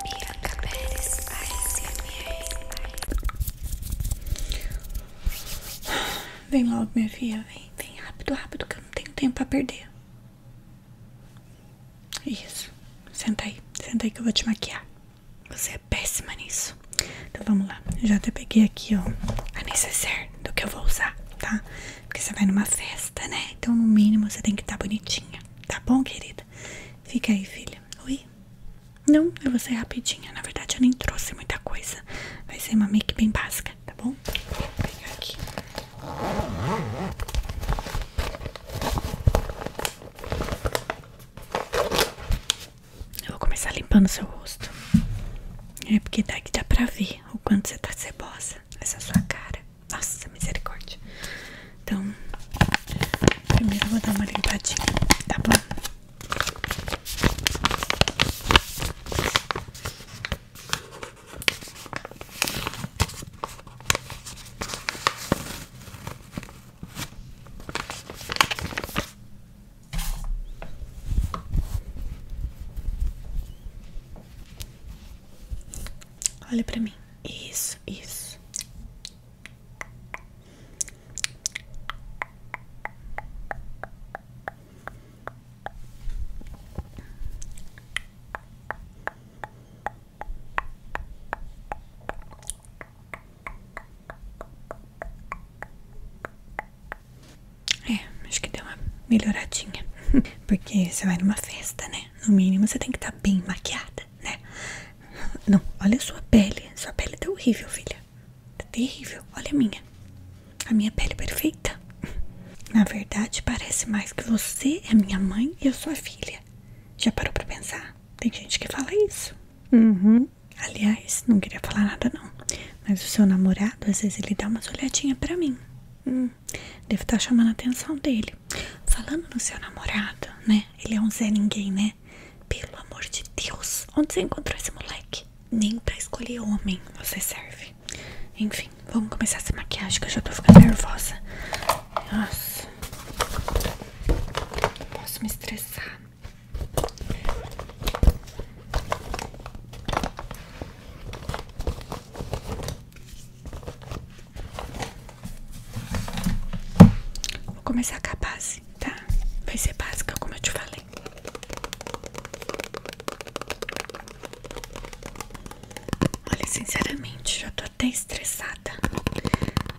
Bianca Pérez ASMR. Vem logo, minha filha, vem, vem rápido, rápido, que eu não tenho tempo pra perder. Isso, senta aí, senta aí que eu vou te maquiar. Você é péssima nisso. Então vamos lá, já até peguei aqui, ó, a necessaire do que eu vou usar, tá? Porque você vai numa festa, né? Então no mínimo você tem que estar tá bonitinha, tá bom, querida? Fica aí, filha. Oi? Não, eu vou sair rapidinha. Na verdade, eu nem trouxe muita coisa. Vai ser uma make bem básica, tá bom? Vou pegar aqui. Eu vou começar limpando seu rosto. É porque daqui dá pra ver o quanto você tá cebosa. Essa é sua cara. Nossa, misericórdia. Então, primeiro vou dar uma limpadinha, tá bom? Olha para mim. Isso, isso. É, acho que deu uma melhoradinha. Porque você vai numa festa, né? No mínimo você tem que estar tá bem maquiada né? Não, olha a sua pele. Sua pele tá horrível, filha. Tá terrível. Olha a minha. A minha pele é perfeita. Na verdade, parece mais que você é minha mãe e eu sou a filha. Já parou pra pensar? Tem gente que fala isso. Uhum. Aliás, não queria falar nada não. Mas o seu namorado, às vezes, ele dá umas olhadinhas pra mim deve estar tá chamando a atenção dele. Falando no seu namorado, né? Ele é um Zé Ninguém, né? Pelo amor de Deus, onde você encontrou esse moleque? Nem pra escolher homem você serve. Enfim, vamos começar essa maquiagem que eu já tô ficando nervosa. Nossa, não posso me estressar. Vou começar com a base, tá? Vai ser básica, como eu te falei. Olha, sinceramente, já tô até estressada.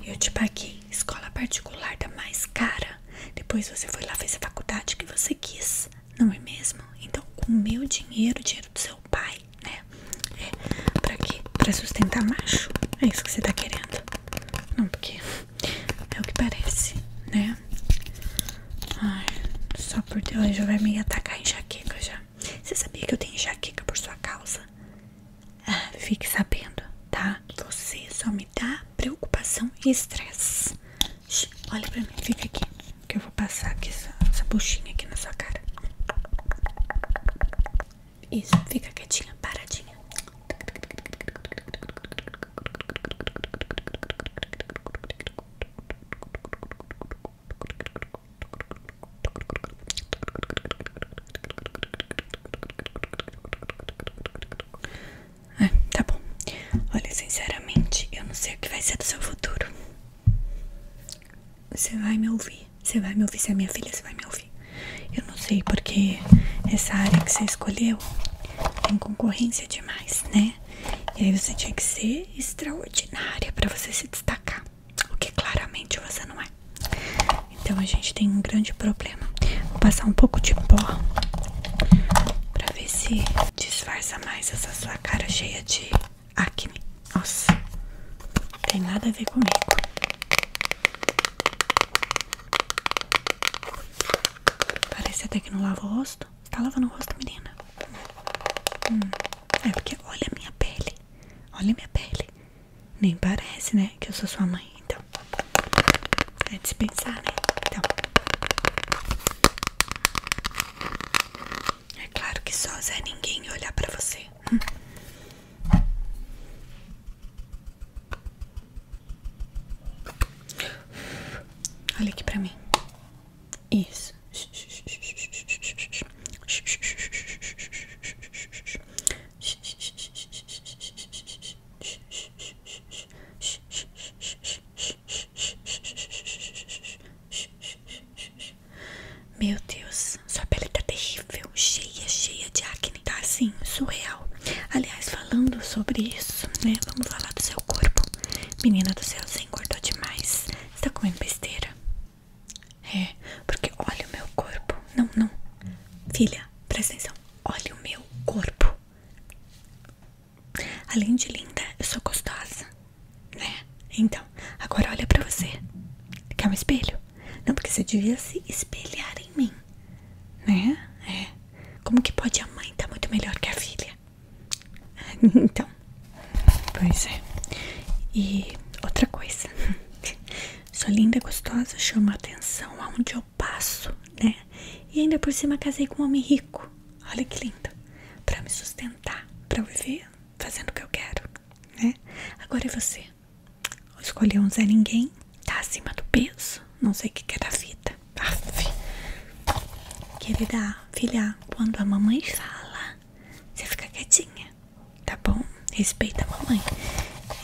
Eu te tipo, paguei escola particular da mais cara. Depois você foi lá, fazer a faculdade que você quis, não é mesmo? Então, com o meu dinheiro, o dinheiro do seu pai, vai, né? É, pra quê? Pra sustentar macho? É isso que você tá querendo? Não, porque é o que parece, né? Ai, só por Deus, ela já vai me atacar em enxaqueca já. Você sabia que eu tenho enxaqueca por sua causa? Ah, fique sabendo, tá? Você só me dá preocupação e estresse. Olha pra mim, fica aqui. Que eu vou passar aqui essa, essa buchinha aqui na sua cara. Isso, fica quietinha, paradinha. Ah, tá bom. Olha, sinceramente, eu não sei o que vai ser do seu futuro. Você vai me ouvir. Você vai me ouvir. Se é minha filha, você vai me ouvir. Eu não sei porque essa área que você escolheu tem concorrência demais, né? E aí você tinha que ser extraordinária para você se destacar. O que claramente você não é. Então a gente tem um grande problema. Vou passar um pouco de pó pra ver se disfarça mais essa sua cara cheia de acne. Nossa, tem nada a ver comigo. Parece até que não lava o rosto. Tá lavando o rosto, menina? Hum. É porque olha a minha pele. Olha a minha pele. Nem parece, né? Que eu sou sua mãe, então. É dispensar, né? Então. É claro que só Zé ninguém olhar pra você. Olha aqui pra mim. Isso. Meu Deus, sua pele tá terrível, cheia, cheia de acne, tá assim, surreal. Aliás, falando sobre isso, né? Vamos falar do seu corpo. Menina do céu, você engordou demais. Você tá comendo besteira? É, porque olha o meu corpo. Não, não. Filha, presta atenção. Olha o meu corpo. Além de linda, eu sou gostosa. Né? Então, agora olha pra você. Quer um espelho? Não, porque você devia se espelhar em mim. Né? É. Como que pode a mãe estar tá muito melhor que a filha? Então. Pois é. E outra coisa. Sou linda, gostosa, chama atenção aonde eu passo, né? E ainda por cima casei com um homem rico. Olha que lindo. Para me sustentar, para viver fazendo o que eu quero, né? Agora é você. Escolhi um Zé Ninguém, tá acima do peso, não sei o que, quer é da vida. Aff. Querida filha, quando a mamãe fala, você fica quietinha, tá bom? Respeita a mamãe.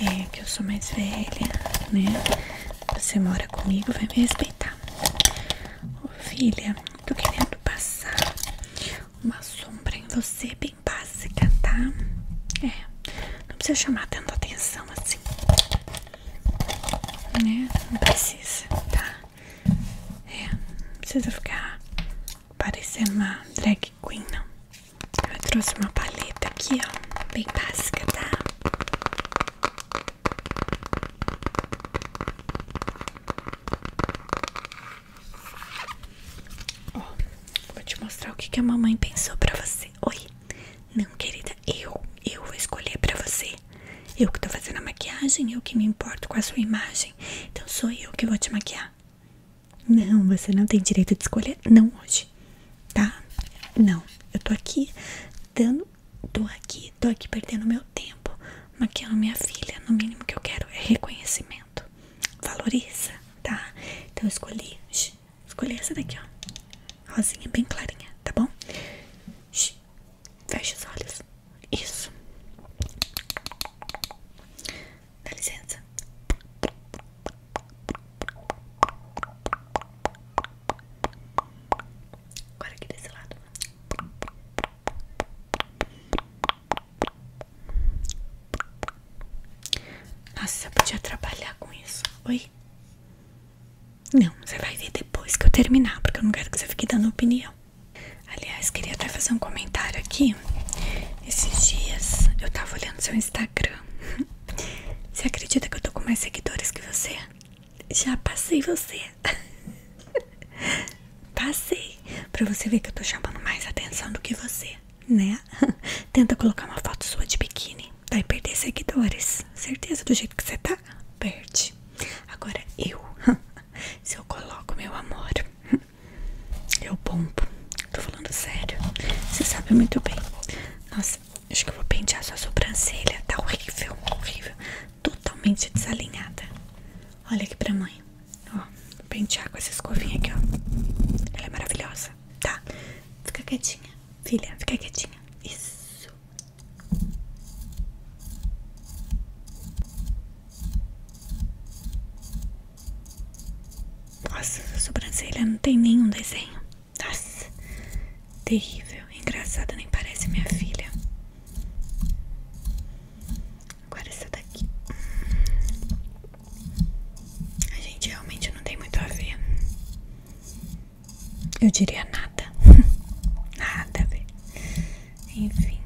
É que eu sou mais velha, né? Você mora comigo, vai me respeitar. Ô, filha, Tô querendo passar uma sombra em você bem básica, tá? É, não precisa chamar tanto atenção assim, né? Não precisa, tá? É, não precisa ficar parecendo uma drag queen, não. Eu trouxe uma paleta aqui, ó, bem básica, tá? vou te mostrar o que, a mamãe pensou pra você. Oi, não, querida, eu, eu vou escolher pra você. Eu que tô fazendo a maquiagem, eu que me importo com a sua imagem. Então sou eu que vou te maquiar. Não, você não tem direito de escolher, não hoje, tá? Não, eu tô aqui dando tô aqui, tô aqui perdendo meu tempo, maquiando minha filha. No mínimo que eu quero é reconhecimento. Valoriza, tá? Então eu escolhi, escolhi essa daqui, ó. Rosinha bem clarinha, tá bom? Shh, fecha os olhos. Isso. Dá licença. Agora aqui desse lado. Nossa, eu podia trabalhar com isso. Oi? Não, você vai ver depois que eu terminar, porque eu não quero que você fique dando opinião. Aliás, queria até fazer um comentário aqui. Esses dias eu tava olhando seu Instagram. Você acredita que eu tô com mais seguidores que você? já passei você. passei. Pra você ver que eu tô chamando mais atenção do que você, né? Tenta colocar uma foto sua de biquíni. Vai perder seguidores. Certeza do jeito que você tá? Perde. Agora eu, se eu coloco meu amor, eu bombo. Tô falando sério. Você sabe muito bem. Nossa, acho que eu vou pentear sua sobrancelha. Tá horrível, horrível totalmente desalinhada. Olha aqui pra mãe. Ó, pentear com essa escovinha aqui, ó. Ela é maravilhosa. Tá? Fica quietinha. Filha, fica quietinha. Isso. Nossa, a sobrancelha não tem nenhum desenho. Nossa. Terrível, engraçada, nem parece minha filha. Agora essa daqui. A gente realmente não tem muito a ver. Eu diria nada. nada a ver. Enfim.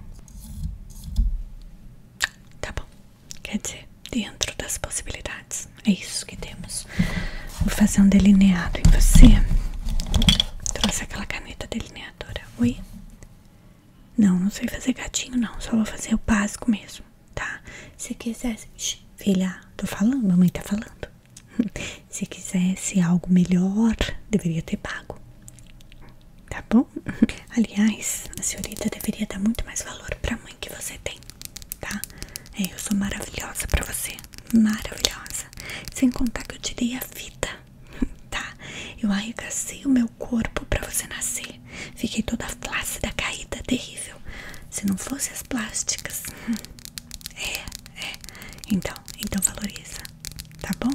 Tá bom. Quer dizer, dentro das possibilidades. É isso que temos. Vou fazer um delineado em você. Trouxe aquela caneta delineadora. Oi? Não, não sei fazer gatinho, não. Só vou fazer o básico mesmo, tá? Se quisesse. filha, tô falando, mamãe tá falando. Se quisesse algo melhor, deveria ter pago. Tá bom? Aliás, a senhorita deveria dar muito mais valor pra mãe que você tem, tá? É, eu sou maravilhosa pra você. Maravilhosa. Sem contar que eu tirei a vida, tá? Eu arregacei o meu corpo para você nascer. Fiquei toda flácida, caída, terrível. Se não fosse as plásticas. É, é. Então, então valoriza, tá bom?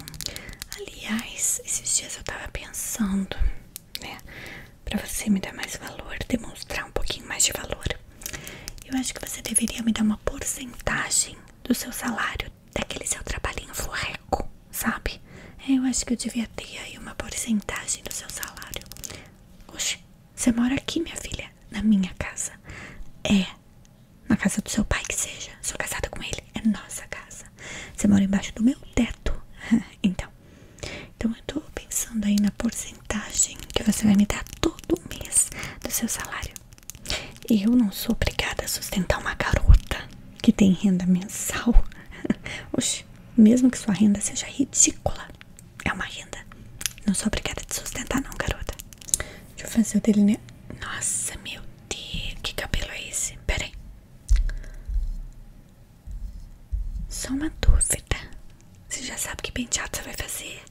Aliás, esses dias eu tava pensando, né? Pra você me dar mais valor, demonstrar um pouquinho mais de valor. Eu acho que você deveria me dar uma porcentagem do seu salário, daquele seu trabalhinho forreco, sabe? Eu acho que eu devia ter aí uma porcentagem do seu salário. Oxe, você mora aqui, minha filha, na minha casa. É, na casa do seu pai que seja. Sou casada com ele, é nossa casa. Você mora embaixo do meu teto. então, então eu tô pensando aí na porcentagem que você vai me dar todo mês do seu salário. Eu não sou obrigada a sustentar uma garota que tem renda mensal. Oxe, mesmo que sua renda seja ridícula, é uma renda. Não sou obrigada a te sustentar, não, garota. Deixa eu fazer o né? Nossa, meu Deus, que cabelo é esse? Pera aí. Só uma dúvida. Você já sabe que penteado você vai fazer?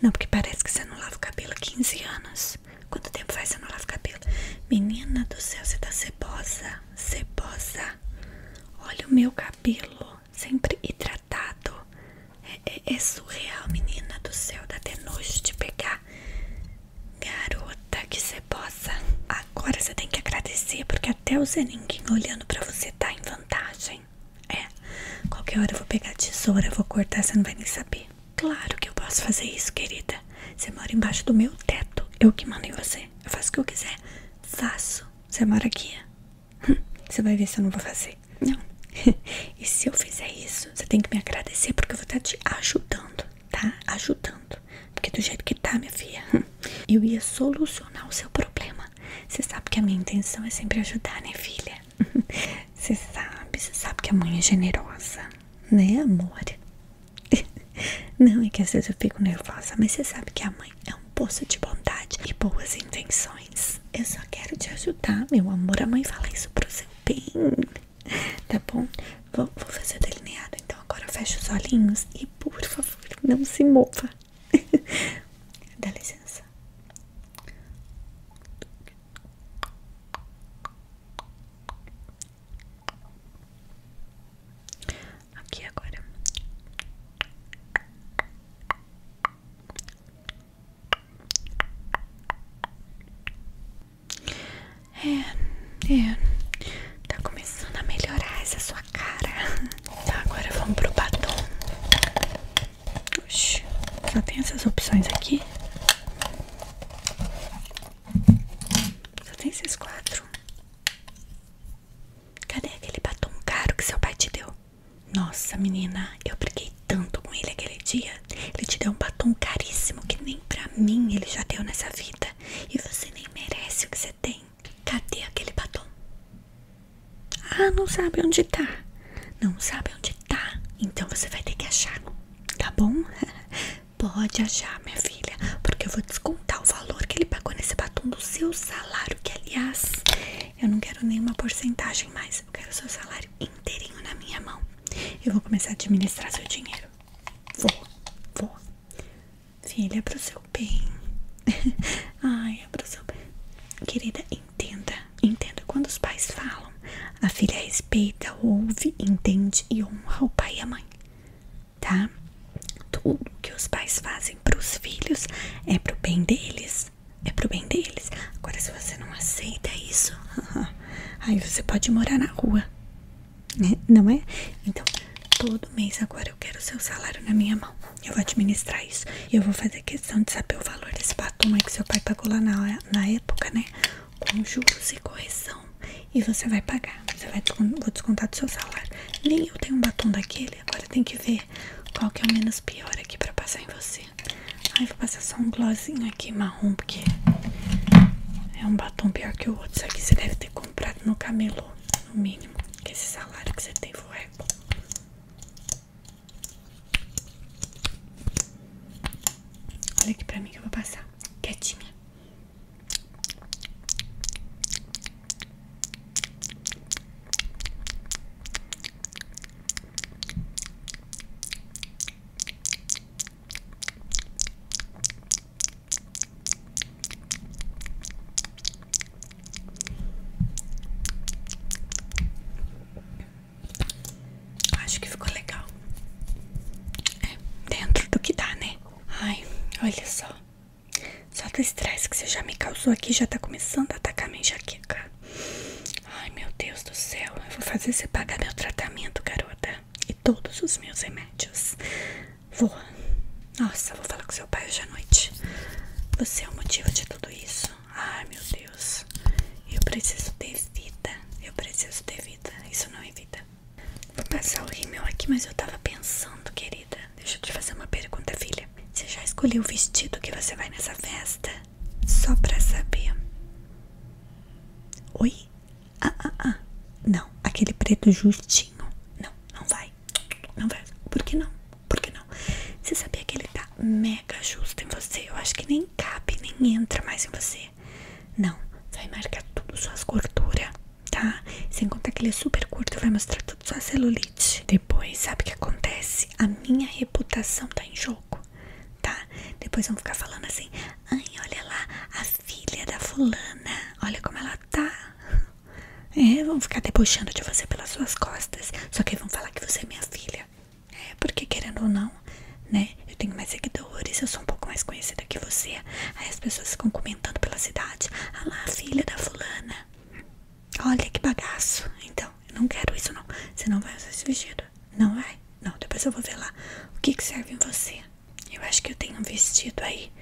Não, porque parece que você não lava o cabelo há 15 anos. Quanto tempo faz que você não lava o cabelo? Menina do céu, você tá cebosa. Cebosa. Olha o meu cabelo. Sempre hidratado. É, é, é, surreal, menina do céu. Dá até nojo de pegar. Garota, que cebosa. Agora você tem que agradecer, porque até o Zeninguinho olhando pra você tá em vantagem. É, qualquer hora eu vou pegar tesoura, vou cortar, você não vai nem saber. Claro que eu posso fazer isso, querida. Você mora embaixo do meu teto, eu que mando em você. Eu faço o que eu quiser. Faço. Você mora aqui. Hum, você vai ver se eu não vou fazer. Não. E se eu fizer isso, você tem que me agradecer porque eu vou estar te ajudando, tá? Ajudando. Porque do jeito que tá, minha filha, hum, eu ia solucionar o seu problema. Você sabe que a minha intenção é sempre ajudar, né, filha? você sabe, você sabe que a mãe é generosa, né, amor? Não é que às vezes eu fico nervosa, mas você sabe que a mãe é um poço de bondade e boas intenções. Eu só quero te ajudar, meu amor. A mãe fala isso pro seu bem, tá bom? Vou, vou fazer o delineado, então agora fecha os olhinhos e, por favor, não se mova tá? Dá licença. Aqui agora. É, é. Tá começando a melhorar essa sua cara. Tá, agora vamos pro batom. Oxi, só tem essas opções aqui. Só tem esses quatro. Cadê aquele batom caro que seu pai te deu? Nossa, menina, eu briguei tanto com ele aquele dia. Ele te deu um batom caríssimo que nem pra mim ele já deu nessa vida. E você nem merece o que você tem. Cadê aquele batom? Ah, não sabe onde tá. Não sabe onde tá. Então você vai ter que achar, tá bom? Pode achar, minha filha, porque eu vou descontar o valor que ele pagou nesse batom do seu salário, que aliás, eu não quero nenhuma porcentagem mais, eu quero o seu salário inteirinho na minha mão. Eu vou começar a administrar seu dinheiro. Vou, vou. Filha, é pro seu bem. Ai, é pro seu bem. Querida, entenda, entenda quando os pais falam, a filha respeita, ouve, entende e honra o pai e a mãe, tá? Tudo que os pais fazem para os filhos é pro bem deles, é pro bem deles. Agora se você não aceita isso, aí você pode morar na rua, né? não é? Então todo mês agora eu quero o seu salário na minha mão. Eu vou administrar isso. E eu vou fazer questão de saber o valor desse batom aí que seu pai pagou lá na, época, né? Com juros e correção. E você vai pagar. Você vai vou descontar do seu salário. Nem eu tenho um batom daquele. Agora tem que ver qual que é o menos pior aqui pra passar em você. Ai, vou passar só um glossinho aqui marrom, porque é um batom pior que o outro. Isso aqui você deve ter comprado no camelô, no mínimo. Que esse salário que você tem foi. Olha aqui para mim que eu vou passar. Quietinha. Acho que ficou legal. É, dentro do que dá, né? Ai, olha só. Só do estresse que você já me causou aqui já tá começando a atacar minha enxaqueca. Ai, meu Deus do céu. Eu vou fazer você pagar meu tratamento, garota. E todos os meus remédios. Vou. Nossa, vou falar com seu pai hoje à noite. Você é o motivo de tudo isso. Ai, meu Deus. Eu preciso ter vida. Eu preciso ter vida. Isso não é vida. Vou passar o rímel aqui, mas eu tava pensando, querida. Deixa eu te fazer uma pergunta, filha. Você já escolheu o vestido que você vai nessa festa? Só pra saber. Oi? Ah, ah, ah. Não, aquele preto justinho. Não, não vai. Não vai. Por que não? Por não? Você sabia que ele tá mega justo em você? Eu acho que nem cabe, nem entra mais em você. Não, vai marcar tudo suas gorduras, tá? Sem contar que ele é super curto, vai mostrar tudo sua celulite. Depois, sabe o que acontece? A minha reputação tá em jogo, tá? Depois vão ficar falando assim: ai, olha lá, a filha da fulana, olha como ela tá. É, vão ficar debochando de você pelas suas costas. Só que vão falar que você é minha filha. É, porque querendo ou não, né? Eu tenho mais seguidores, eu sou um pouco mais conhecida que você. Aí as pessoas ficam comentando pela cidade. Ah lá, filha da fulana. Olha que bagaço. Então, eu não quero isso não. Você não vai usar esse vestido. Não vai? Não, depois eu vou ver lá o que, que serve em você. Eu acho que eu tenho um vestido aí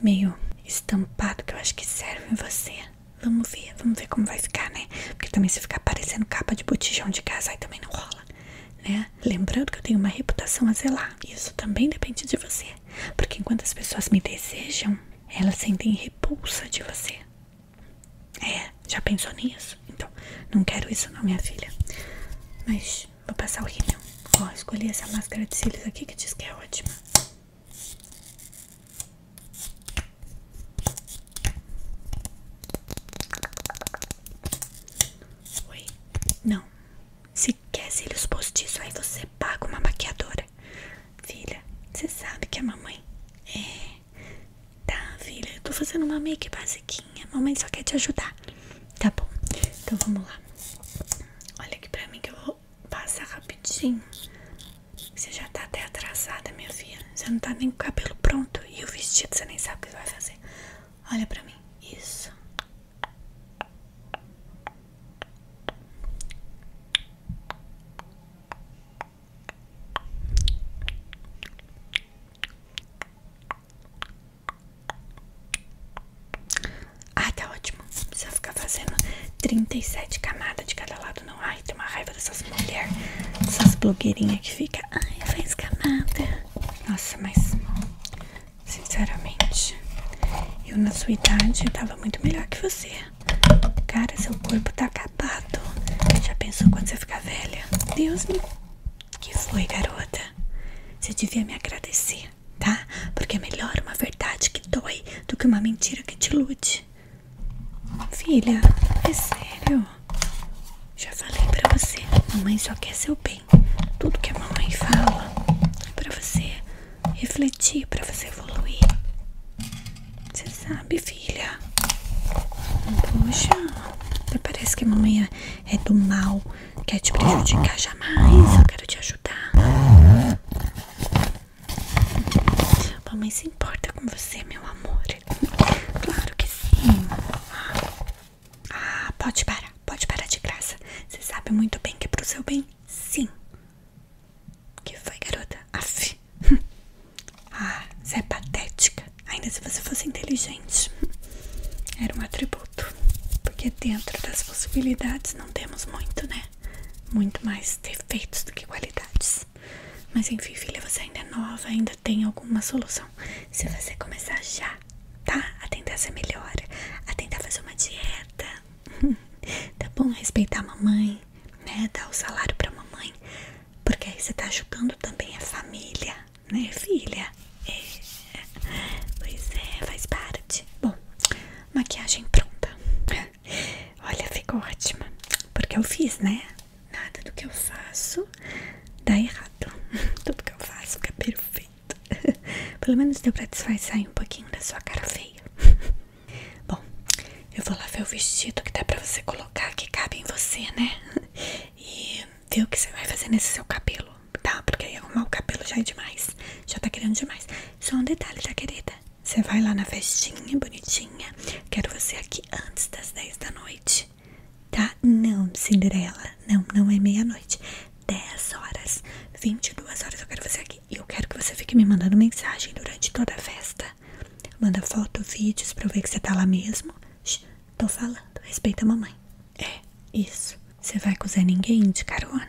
meio estampado que eu acho que serve em você. Vamos ver, vamos ver como vai ficar, né? Porque também se ficar parecendo capa de botijão de casa, aí também não rola, né? Lembrando que eu tenho uma reputação a zelar. Isso também depende de você. Porque enquanto as pessoas me desejam, elas sentem repulsa de você. É, já pensou nisso? Então, não quero isso não, minha filha. Mas vou passar o rímel. Ó, escolhi essa máscara de cílios aqui que diz que é ótima. Oi? Não. Se quer cílios postiços, aí você paga uma maquiadora. Filha, você sabe que a mamãe é... Tá, filha, eu tô fazendo uma make basiquinha. Mamãe só quer te ajudar. Tá bom. Então vamos lá. Olha aqui pra mim que eu vou só passa rapidinho. Você já tá até atrasada, minha filha. Você não tá nem com o cabelo pronto. E o vestido você nem sabe o que vai fazer. Olha pra mim. Isso. Ah, tá ótimo. Não precisa ficar fazendo 37 camadas de cada lado, não. Ai, tem uma raiva dessas mulheres, dessas blogueirinhas que fica. Ai, faz camada. Nossa, mas sinceramente, eu na sua idade tava muito melhor que você. Cara, seu corpo tá acabado. Já pensou quando você ficar velha? Deus me. Que foi, garota? Você devia me agradecer tá? Porque é melhor uma verdade que dói do que uma mentira que te ilude. Filha, é sério. Já falei pra você, mamãe só quer seu bem. Tudo que a mamãe fala é pra você refletir, pra você evoluir. Você sabe, filha? Poxa, parece que a mamãe é, é do mal, quer te prejudicar jamais. Eu quero te ajudar. Mamãe se importa com você, meu amor. Claro que sim. Ah, pode parar, pode parar de graça. Você sabe muito bem que é pro seu bem, sim. Que foi, garota? Ah, você é patética. Ainda se você fosse inteligente. Era um atributo. Porque dentro das possibilidades não temos muito, né? muito mais defeitos do que qualidades. Mas enfim, filha, você ainda é nova, ainda tem alguma solução. Se você começar já, tá? A tentar ser melhor, a tentar fazer uma dieta, tá bom? Respeitar a mamãe, né? Dar o salário pra mamãe, porque aí você tá ajudando também a família, né, filha? É. Pois é, faz parte. Bom, maquiagem pronta. Olha, ficou ótima. Porque eu fiz, né? Nada do que eu faço dá errado. Tudo que eu faço fica perfeito. Pelo menos deu pra desfazer um pouquinho da sua cara feia. Bom, eu vou lá ver o vestido que dá pra você colocar, que cabe em você, né? E ver o que você vai fazer nesse seu cabelo tá? Porque aí arrumar o cabelo já é demais, já tá querendo demais. Só um detalhe, tá, querida? Você vai lá na festinha, bonitinha. Quero você aqui antes das 10 da noite, tá? Não, Cinderela, não, não é meia-noite. 10 horas, 22 horas eu quero você aqui. E eu quero que você fique me mandando mensagem durante toda a festa. Manda foto, vídeos pra eu ver que você tá lá mesmo. tô falando, respeita a mamãe. É, isso. Você vai acusar ninguém de carona?